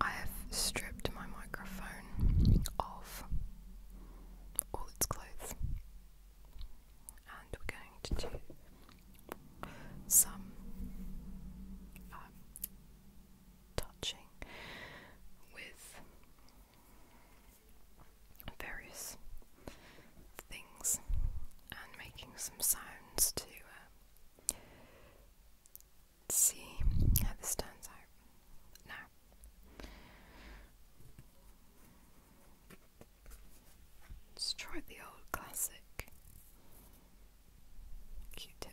I have stripped my microphone of all its clothes, and we're going to do some um, touching with various things and making some sounds to uh, see how this turns out now. Let's try the old classic Q tip.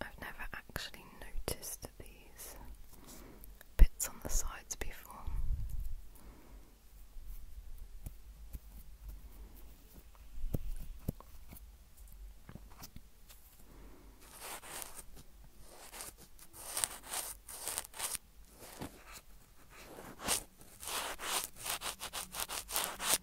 I've never actually noticed these bits on the sides before.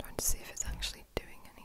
Trying to see if it's actually doing anything.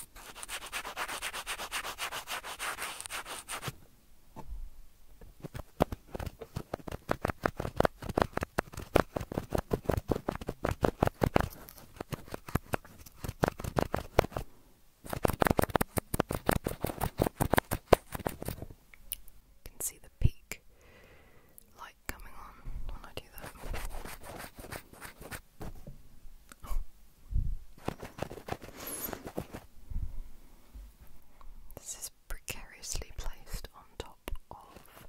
You can see the peak light coming on when I do that. This is precariously placed on top of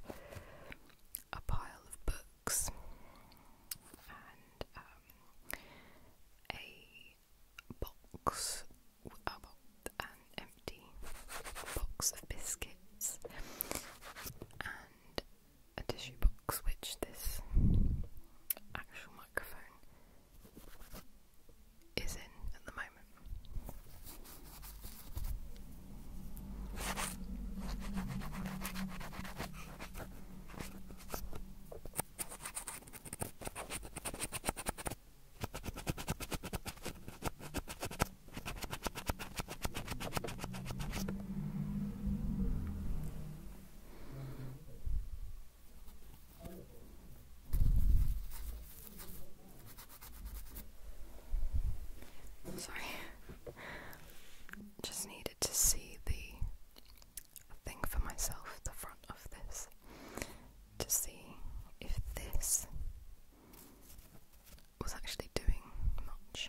a pile of books and um, a box, uh, empty box of biscuits and a tissue box, which this actual microphone is in at the moment. Sorry. Just needed to see the thing for myself, the front of this, to see if this was actually doing much.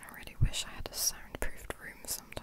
I really wish I had a soundproofed room sometimes.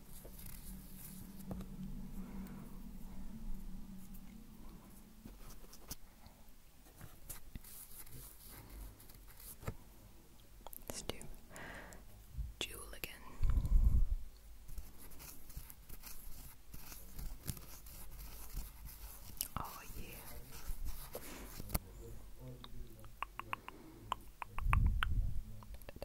Let's do Jewel again. Oh, yeah.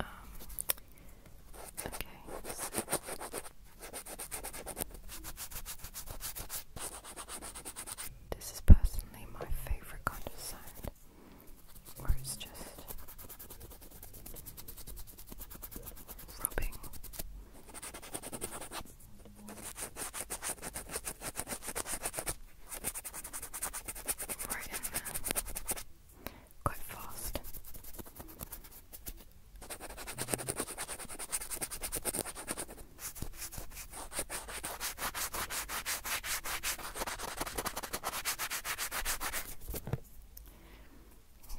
Um, okay. This is personally my favorite kind of sound or it's just rubbing. Right Quite fast.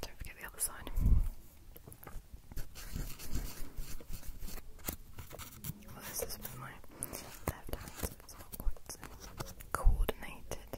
Don't forget the other side. Well, this is my coordinated.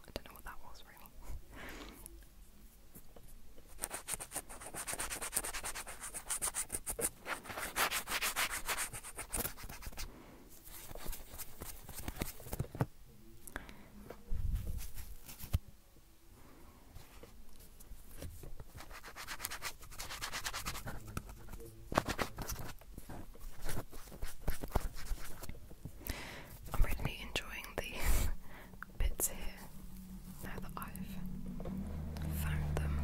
I don't know what that was really. I'm really enjoying the bits here now that I've found them.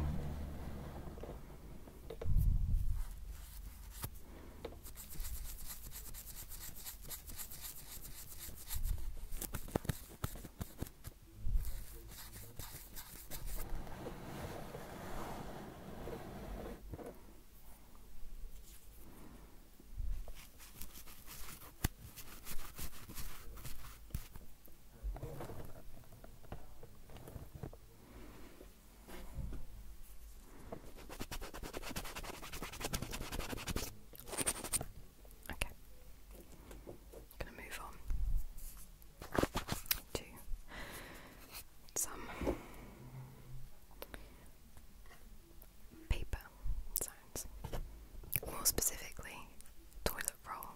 Okay. i going to move on to some paper sounds. More specifically, toilet roll.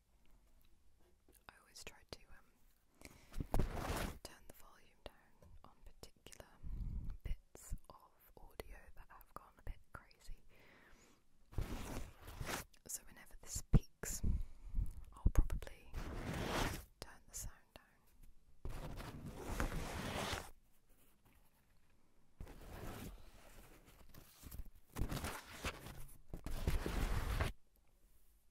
I always try to um, turn the volume down on particular bits of audio that have gone a bit crazy. So whenever this peaks, I'll probably turn the sound down.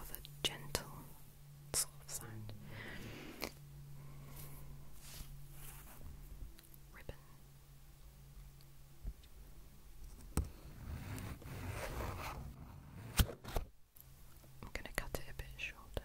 of a gentle sort of sound. Ribbon. I'm going to cut it a bit shorter.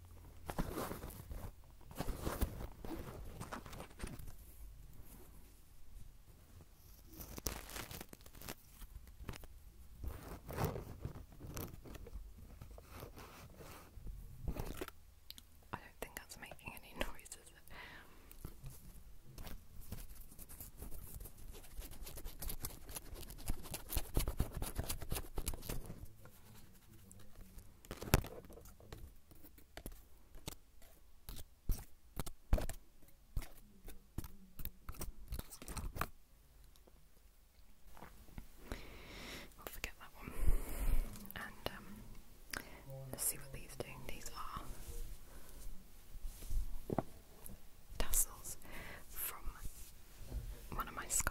I don't think that's making any noise, I'll forget that one. And um, let's see what these do. These are tassels from one of my scarves.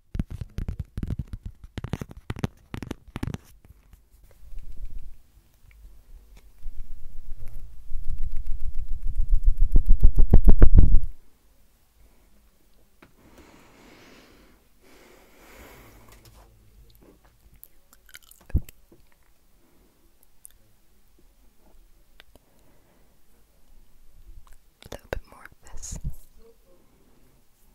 A little bit more of this.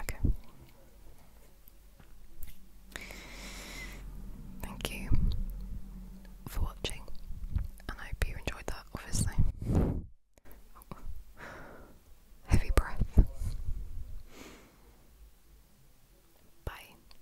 Okay. Thank you for watching, and I hope you enjoyed that, obviously. Oh, heavy breath. Bye.